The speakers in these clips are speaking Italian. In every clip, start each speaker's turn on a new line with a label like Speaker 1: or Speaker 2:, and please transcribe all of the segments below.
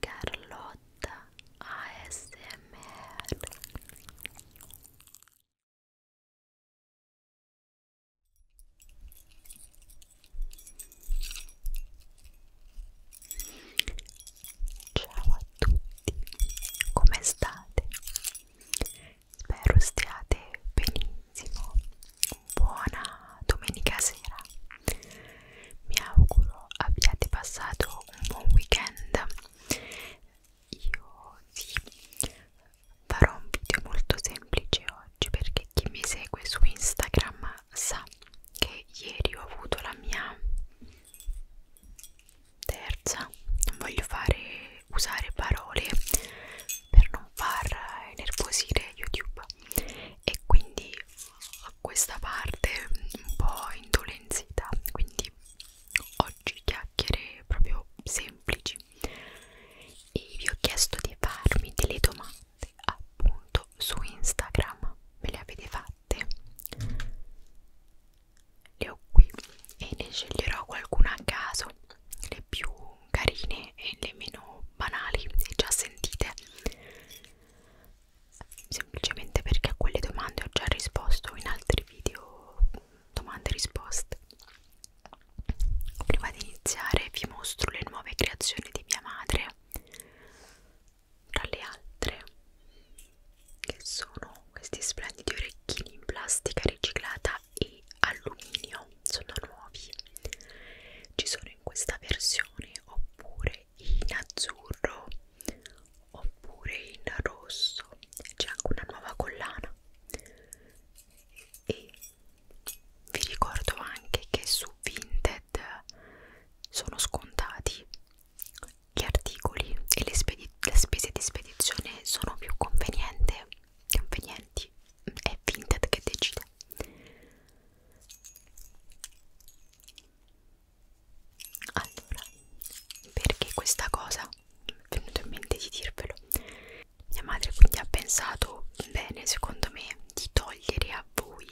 Speaker 1: Carlotta ASMR Ciao a tutti, come state? Spero stiate benissimo buona domenica sera mi auguro abbiate passato un buon weekend io sì farò un video molto semplice oggi perché chi mi segue su Instagram sa che ieri ho avuto la mia terza non voglio fare usare parole per non far nervosire YouTube e quindi questa parte un po' indolenzita quindi oggi chiacchiere proprio semplici e vi ho chiesto di farmi delle domande appunto su Instagram me le avete fatte le ho qui e ne sceglierò qualcuna a caso le più carine e le meno banali e già sentite semplicemente perché a quelle domande ho già risposto in altri video domande e risposte prima di iniziare vi mostro le nuove creazioni di mia madre tra le altre che sono questi splendidi orecchini in plastica riciclata e alluminio sono nuovi ci sono in questa versione oppure in azzurro oppure in rosso c'è anche una nuova collana e vi ricordo anche che su Vinted sono scontati gli articoli e le, le spese di spedizione sono più convenienti è Vinted che decide allora perché questa cosa mi è venuto in mente di dirvelo mia madre quindi ha pensato bene secondo me di togliere a voi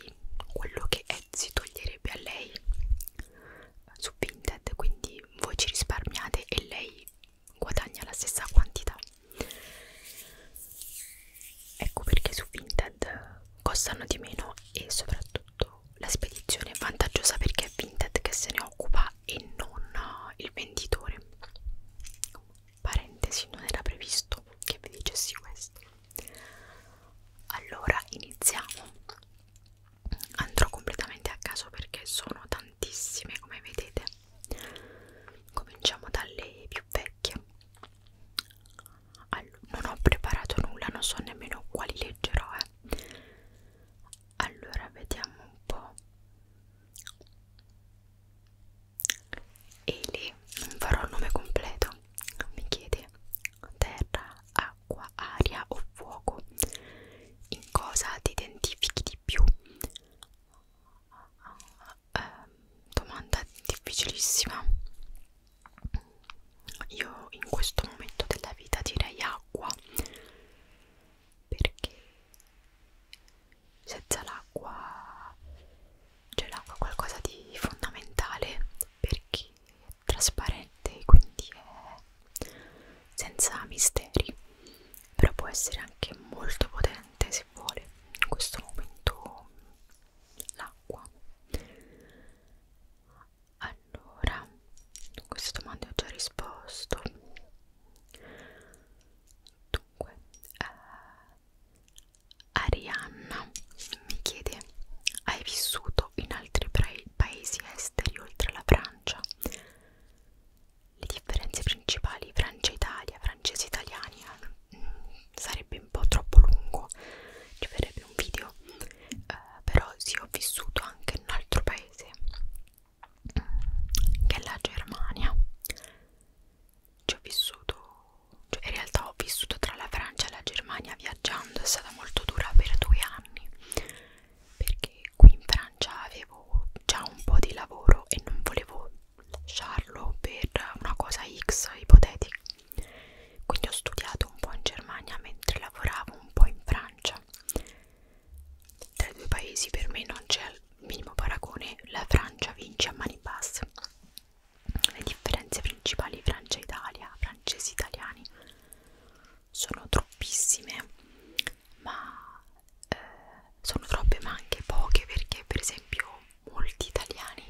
Speaker 1: quello che Etsy toglierebbe a lei su Vinted quindi voi ci risparmiate e lei guadagna la stessa quantità ecco perché su Vinted costano di meno e soprattutto la spedizione è vantaggiosa perché è Vinted che se ne occupa e non eh, il venditore parentesi non era previsto che vi dicessi questo allora iniziamo andrò completamente a caso perché sono tantissime come vedete Cominciamo dalle più vecchie. Allora, non ho preparato nulla, non so nemmeno quali leggerò. Eh. Allora, vediamo un po'. Eli, non farò il nome completo. Mi chiede terra, acqua, aria o fuoco. In cosa ti identifichi di più? eh, domanda difficilissima io in questo momento della vita direi acqua perché senza l'acqua c'è l'acqua qualcosa di fondamentale perché è trasparente quindi è senza misteri però può essere anche molto potente se vuole in questo momento l'acqua allora a queste domande ho già risposto dunque eh, Arianna mi chiede hai vissuto in altri paesi esteri oltre la Francia? le differenze principali Francia-Italia, francesi-italiani eh, mm, sarebbe un po' troppo lungo, ci verrebbe un video, eh, però sì ho vissuto anche in un altro paese mm, che è la Germania, ci ho vissuto, cioè in realtà ho vissuto tra la Francia e la Germania viaggiando, è stata molto dura per due anni perché qui in Francia avevo già un po' di lavoro e non volevo Charlo per una cosa X ipotetica. Quindi ho studiato un po' in Germania mentre lavoravo un po' in Francia. Tra i due paesi per me non c'è il minimo paragone, la Francia vince a mani basse. Le differenze principali Francia-Italia, francesi-italiani sono troppissime, ma eh, sono troppe ma anche poche perché per esempio molti italiani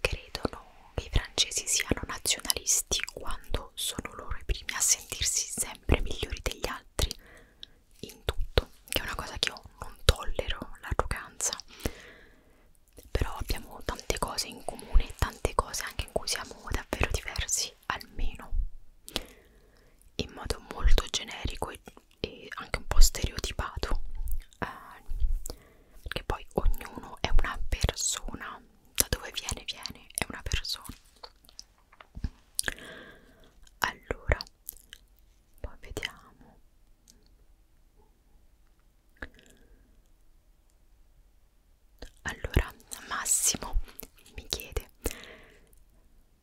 Speaker 1: credono che i francesi siano nazionalisti quando sono loro i primi a sentirsi sempre migliori degli altri in tutto, che è una cosa che io non tollero, l'arroganza però abbiamo tante cose in comune, tante cose anche in cui siamo davvero diversi, almeno in modo molto generico e e anche un po' stereotipato eh, perché poi ognuno è una persona da dove viene viene è una persona allora poi vediamo allora Massimo mi chiede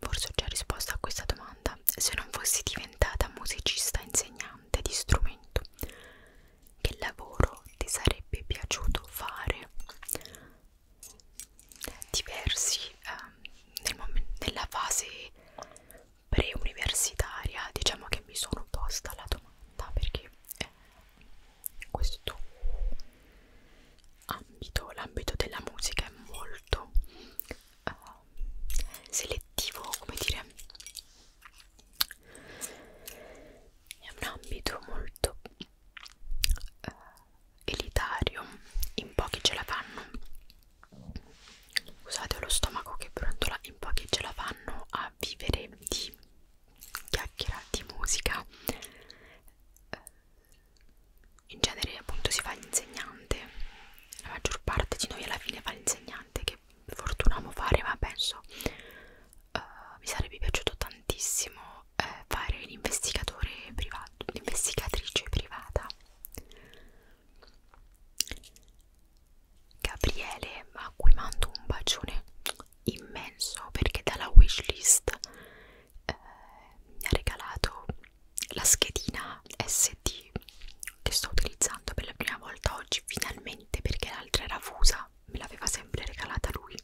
Speaker 1: Forse ho già risposto a questa domanda. Se non fossi diventata musicista insegnante di strumento, che lavoro ti sarebbe piaciuto fare? Diversi eh, nel nella fase pre-universitaria, diciamo che mi sono posta la domanda perché eh, questo ambito, l'ambito della musica è molto uh, selettivo, come dire, è un ambito molto uh, elitario, in pochi ce la fanno. Scusate, ho lo stomaco che brontola, in pochi ce la fanno a vivere di chiacchiera, di musica. Uh, in genere appunto si fa l'insegnante la maggior parte di noi alla fine fa l'insegnante che fortunamo fare ma penso uh, mi sarebbe piaciuto tantissimo eh, fare l'investigatore privato l'investigatrice privata Gabriele a cui mando un bacione immenso perché dalla wishlist eh, mi ha regalato la schedina SD che sto utilizzando per la prima volta oggi finalmente perché l'altra era fusa me l'aveva sempre regalata lui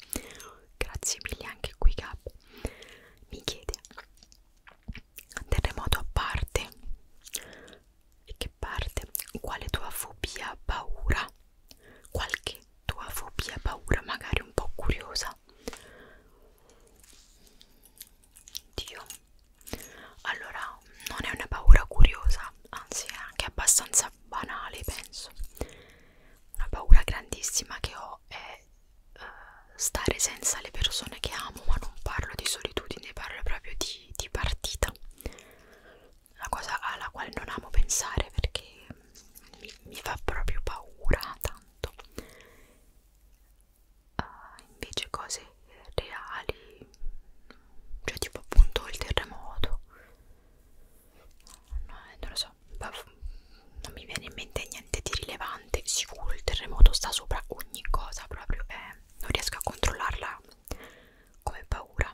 Speaker 1: grazie mille anche qui Gab mi chiede terremoto a parte e che parte quale tua fobia paura qualche tua fobia paura magari un po' curiosa Dio allora non è una paura curiosa anzi è anche abbastanza banale penso una paura grandissima che ho è uh, stare senza le persone che amo ma non parlo di solitudine parlo proprio di, di partita una cosa alla quale non amo pensare perché mi, mi fa proprio paura tanto uh, invece cose reali cioè tipo appunto il terremoto no, eh, non lo so non mi viene in mente niente di rilevante sicuro il terremoto sta sopra ogni cosa proprio eh, non riesco a controllarla come paura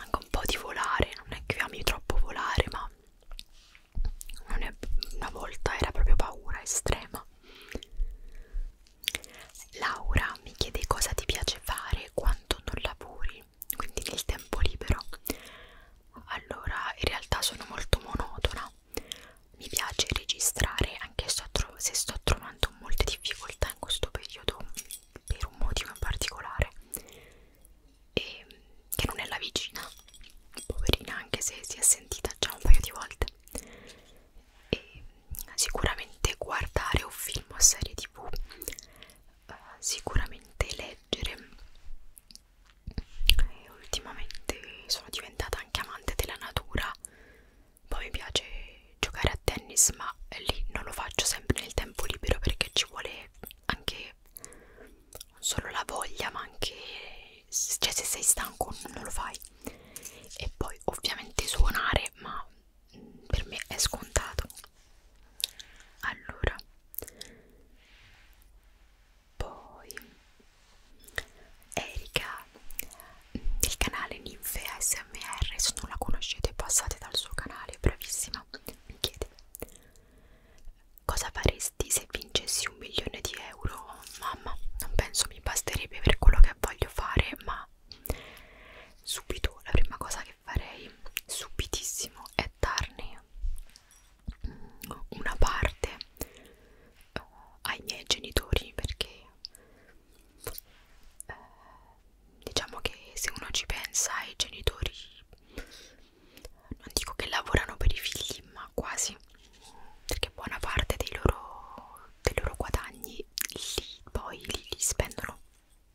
Speaker 1: anche un po' di volare non è che ami troppo volare ma una volta era proprio paura estrema. Laura mi chiede cosa ti piace fare quando non lavori, quindi nel tempo libero. Allora, in realtà sono molto monotona. Mi piace registrare, anche sto se sto trovando molte difficoltà in questo periodo, per un motivo in particolare e che non è la vicina, poverina anche se si è sentita già un paio di volte e sicuramente guardare un film o serie tv uh, eh, sicuramente leggere e ultimamente sono diventata anche amante della natura poi mi piace giocare a tennis ma lì non lo faccio sempre nel tempo libero perché ci vuole anche non solo la voglia ma anche cioè se sei stanco non lo fai e poi ovviamente suonare ma mm, per me è scontato allora poi Erika mm, del canale Ninfe ASMR se non la conoscete passate dal suo canale bravissima mi chiede Cosa faresti se vincessi un milione di euro? Mamma, non penso mi basterebbe per quello che voglio fare, ma subito la prima cosa che farei, subitissimo, è darne mm, una parte uh, ai miei genitori perché uh, diciamo che se uno ci pensa ai genitori non dico che lavorano per i figli ma quasi perché buona parte dei loro, dei loro guadagni li, poi li, li spendono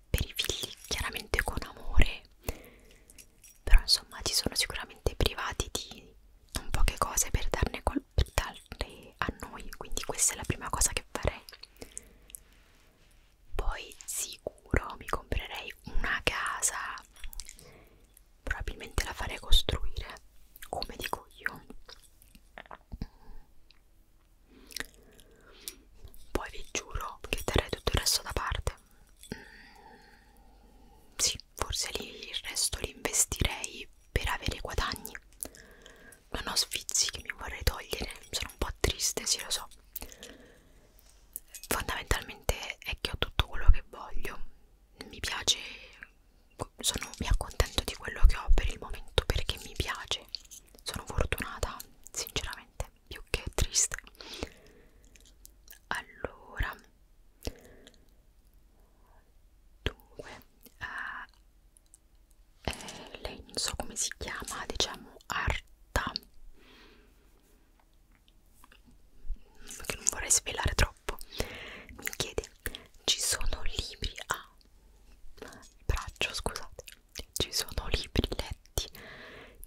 Speaker 1: per i figli chiaramente con amore però insomma ci sono sicuramente privati di non poche cose per darne, per darle a noi quindi questa è la prima cosa che farei poi sicuro mi comprerei una casa probabilmente la farei costruire come dico io poi vi giuro che terrei tutto il resto da parte mm, sì forse lì il resto li investirei per avere guadagni non ho sfizi che mi vorrei togliere sono un po' triste sì lo so fondamentalmente è che ho tutto quello che voglio mi piace sono, mi accontento di quello che ho per il momento perché mi piace sono fortunata sinceramente più che triste allora dunque eh, eh lei non so come si chiama diciamo Arta che non vorrei svelare troppo mi chiede ci sono libri a ah, braccio scusate ci sono libri letti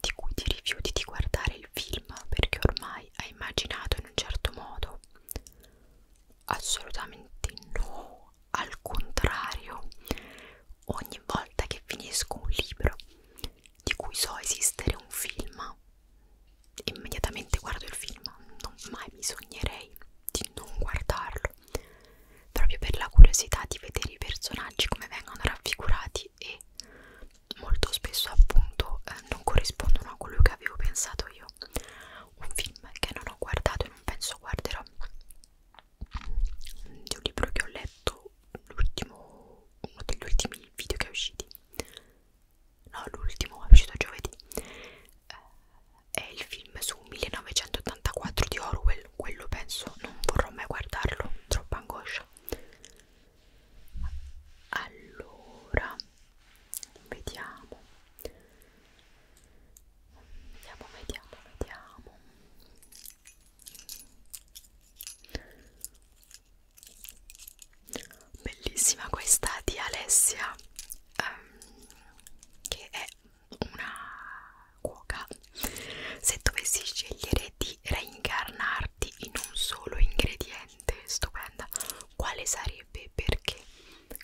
Speaker 1: di cui ti rifiuti di guardare il film perché ormai hai immaginato in un certo modo assolutamente no al contrario ogni volta che finisco un libro di cui so esistere un film immediatamente guardo il film non mai mi sognerei di non guardarlo proprio per la curiosità di vedere i personaggi come vengono raffigurati e molto spesso appunto eh, non corrispondono a quello che avevo pensato io un film che non ho guardato e non penso guarderò di un libro che ho letto l'ultimo uno degli ultimi video che è usciti no l'ultimo è uscito giovedì eh, è il film su 1984 di Orwell quello penso non vorrò mai guardarlo troppa angoscia allora vediamo vediamo vediamo vediamo bellissima questa di Alessia um, che è una cuoca se dovessi scegliere di reincarnarti in un solo ingrediente stupenda quale sarebbe perché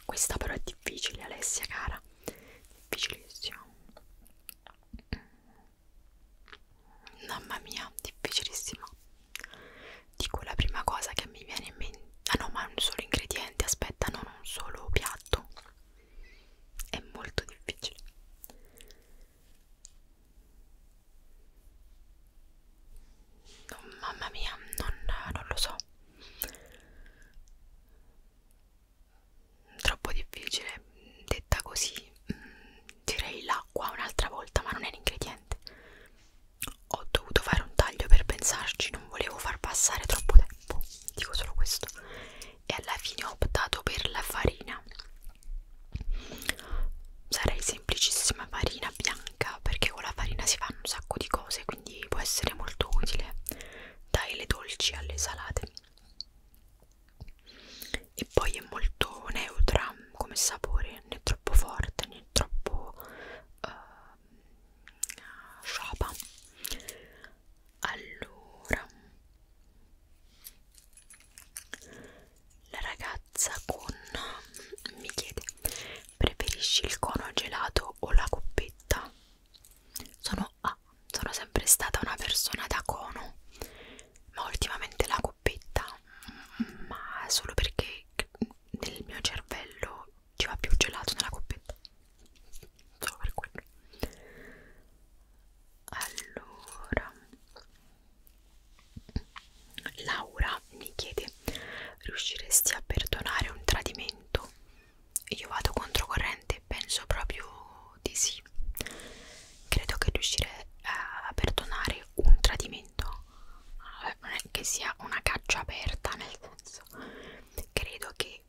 Speaker 1: questa però è difficile Alessia cara difficilissima Mamma mia, difficilissima. Dico la prima cosa che mi viene in mente. Ah no, ma è un solo ingrediente, aspetta, non un solo piatto. È molto difficile. Oh, mamma mia, non, non lo so. Troppo difficile, detta così, mm, direi l'acqua un'altra volta ma non è l'ingrediente ho dovuto fare un taglio per pensarci non volevo far passare troppo tempo dico solo questo e alla fine ho optato per la farina sarei semplicissima farina bianca perché con la farina si fanno un sacco di cose quindi può essere molto utile dai le dolci alle salate e poi è molto neutra come sapore né troppo forte né troppo uh, ehm, sciapa allora la ragazza con mi chiede preferisci il cono gelato o la coppetta sono, ah, sono sempre stata una persona da cono ma ultimamente la coppetta scoppetta ma solo perché nel mio cervello ci va più gelato nella coppetta solo per quello allora Laura mi chiede riusciresti a perdonare un tradimento? io vado controcorrente penso proprio di sì. Credo che riuscire a perdonare un tradimento eh, non è che sia una caccia aperta, nel senso, credo che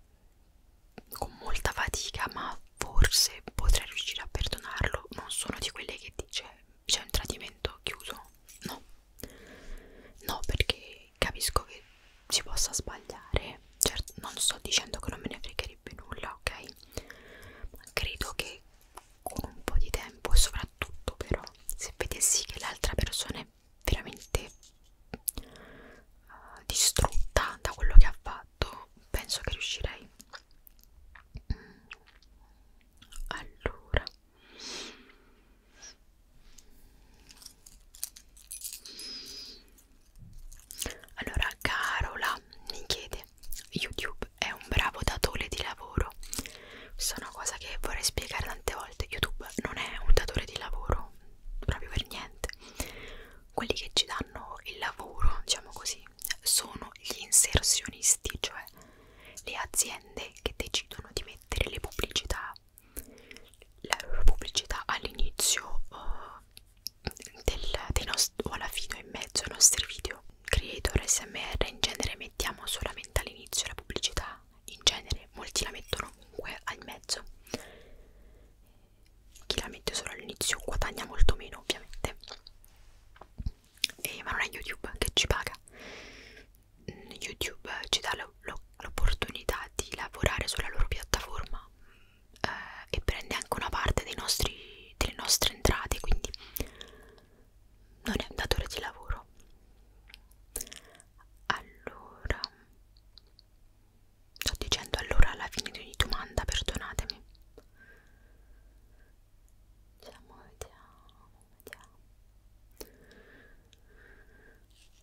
Speaker 1: con molta fatica, ma forse potrei riuscire a perdonarlo. Non sono di quelle che dice c'è un tradimento chiuso, no, no, perché capisco che si possa sbagliare. Certo, non sto dicendo che non me ne fregherebbe nulla, ok? Credo che con un po' di tempo e soprattutto però se vedessi che l'altra persona è veramente uh, distrutta da quello che ha fatto penso che riuscirei mm. allora allora Carola mi chiede YouTube YouTube è un bravo datore di lavoro. Questa è una cosa che vorrei spiegare tante volte. YouTube non è un datore di lavoro, proprio per niente. Quelli che ci danno il lavoro, diciamo così, sono gli inserzionisti, cioè le aziende che decidono di mettere le pubblicità, la loro pubblicità all'inizio uh, del, dei nostri, o alla fine o in mezzo ai nostri video creator smr in genere mettiamo solamente all'inizio la pubblicità in genere molti la mettono comunque al mezzo chi la mette solo all'inizio guadagna molto meno ovviamente e, eh, ma non è youtube che ci paga mm, youtube ci dà l'opportunità di lavorare sulla loro piattaforma eh, e prende anche una parte dei nostri, delle nostre entrate quindi non è un datore di lavoro allora sto dicendo allora alla fine di ogni domanda perdonatemi diciamo vediamo vediamo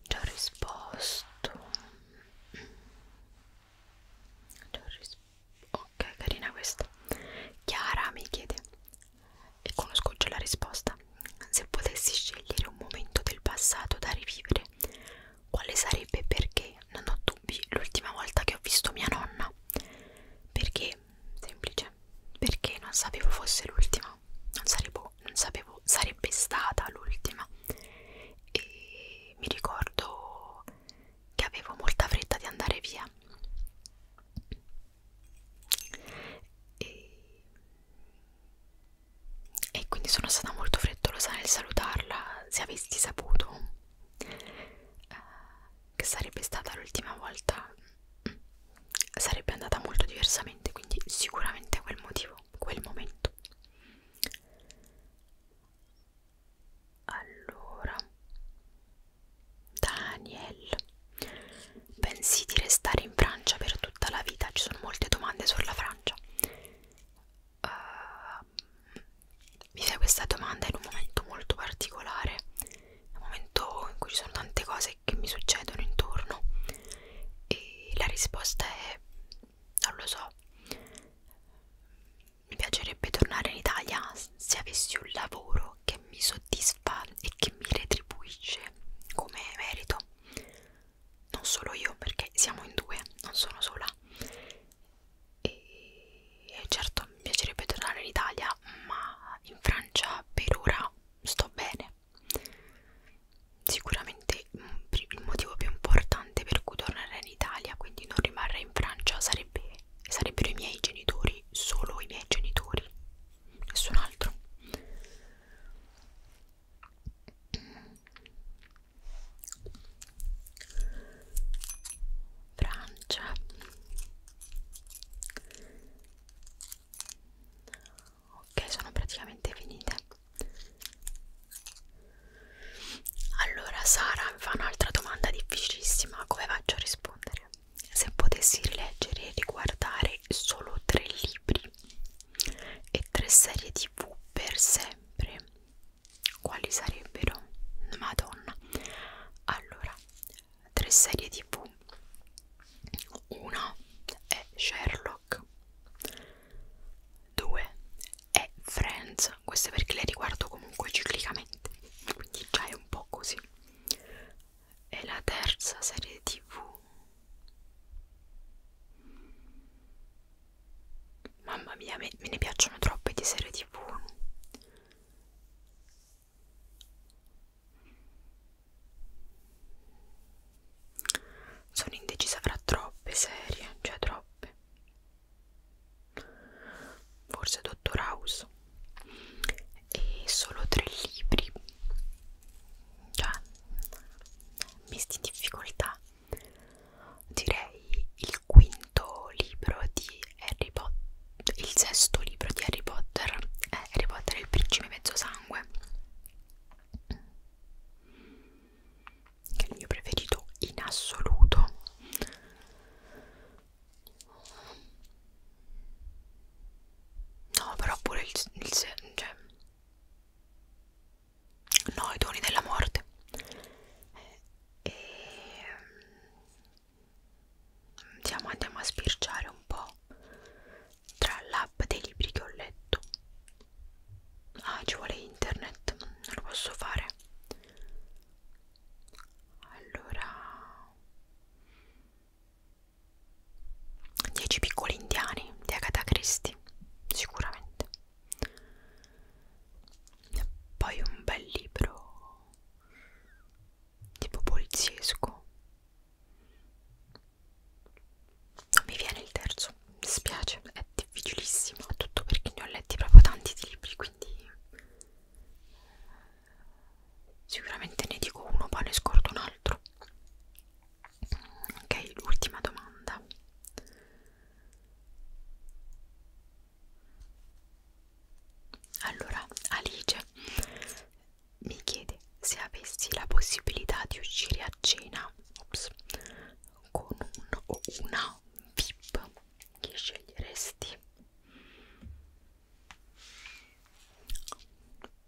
Speaker 1: Già ho risposto. Già ho risposto ok carina questa Chiara mi chiede e conosco già la risposta se potessi scegliere un momento del passato da rivivere quale sarebbe perché non ho dubbi l'ultima volta che ho visto mia nonna perché semplice perché non sapevo fosse l'ultima non sarevo non sapevo sarebbe stata l'ultima e mi ricordo che avevo molta fretta di andare via e, e quindi sono stata molto frettolosa nel salutarla se avessi saputo eh, che sarebbe stata l'ultima volta sarebbe andata molto diversamente quindi sicuramente quel motivo quel momento allora, Daniel, pensi di restare in Francia per tutta la vita? Ci sono molte domande sulla Francia. Uh, mi fai questa domanda in un momento molto particolare, un momento in cui ci sono tante cose che mi succedono intorno e la risposta è non lo so mi piacerebbe tornare in Italia se avessi un lavoro che mi soddisfa e che mi retribuisce come merito. Non solo io, perché siamo in due, non sono sola. E certo mi piacerebbe tornare in Italia, ma in Francia per ora sto bene. Sicuramente mm, il motivo più importante importante per cui tornare in Italia, quindi non rimarrà in Francia, sarebbe, sarebbero i miei genitori, solo i miei genitori, nessun altro. Francia ok sono praticamente finite allora Sara mi fa un'altra domanda difficilissima, come faccio a rispondere? Se potessi leggere e riguardare solo tre libri e tre serie tv per sempre, quali sarebbero? Madonna! Allora, tre serie tv. Una è Sherlock, due e Friends, queste perché le riguardo comunque ciclicamente, quindi già è un po' così. E la terza serie tv. Mamma mia, me, me ne piacciono troppe di serie tv. Sono indecisa fra troppe serie, cioè troppe forse Dottor House e solo tre libri cioè messi in difficoltà direi il quinto libro di Harry Potter il sesto libro di Harry Potter è eh, Harry Potter e il principe mezzosangue che è il mio preferito in assoluto no però pure il, il cioè no i doni della morte e ehm, diciamo andiamo a sbirciare un po' tra l'app dei libri che ho letto ah ci vuole internet non lo posso fare allora 10 piccoli indiani di Agatha Christie sicuramente e poi un bel libro tipo poliziesco non mi viene il terzo mi spiace, è difficilissimo, tutto perché ne ho letti proprio tanti di libri, quindi sicuramente ne dico uno, poi ne scordo un altro. Ok, l'ultima domanda. Allora, Alice mi chiede se avessi la possibilità di uscire a cena, ops, con un o una VIP che sceglieresti?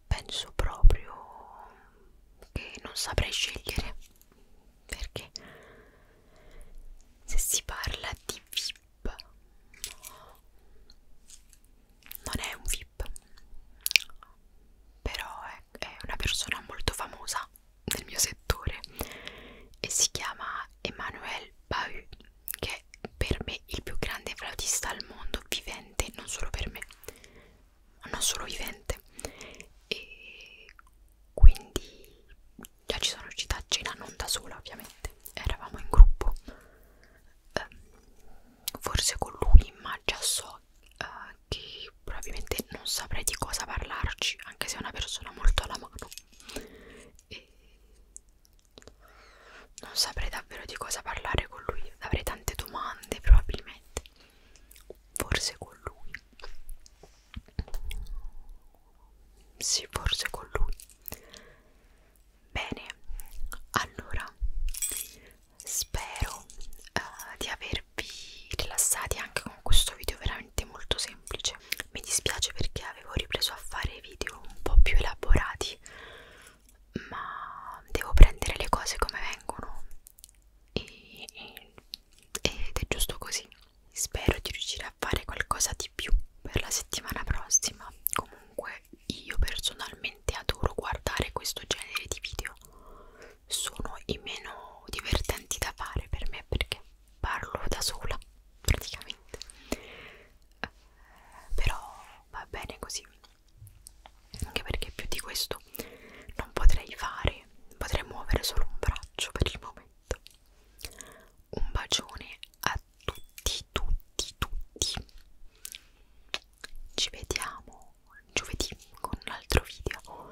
Speaker 1: Penso proprio che non saprei scegliere perché se si parla di VIP non è un VIP però è ecco è, è una persona molto famosa nel mio settore e si chiama Emmanuel Bahu che è per me il più grande flautista al mondo vivente non solo per me ma non solo vivente e quindi già ci sono uscita a cena non da sola ovviamente eravamo in gruppo um, forse con lui ma già so uh, che probabilmente non saprei di cosa parlarci anche se è una persona molto alla mano e non saprei davvero di cosa parlare con lui avrei tante domande probabilmente forse con lui sì forse con lui bene allora spero uh, di aver tenervi rilassati anche con questo video veramente molto semplice mi dispiace perché avevo ripreso a fare video un po' più elaborati ma devo prendere le cose come vengono e, e, ed è giusto così spero di riuscire a fare qualcosa di più per la settimana prossima comunque io personalmente adoro guardare questo genere di video sono i meno divertenti da fare per me perché parlo da sola praticamente eh, però va bene così anche perché più di questo non potrei fare potrei muovere solo un braccio per il momento un bacione a tutti tutti tutti ci vediamo giovedì con un altro video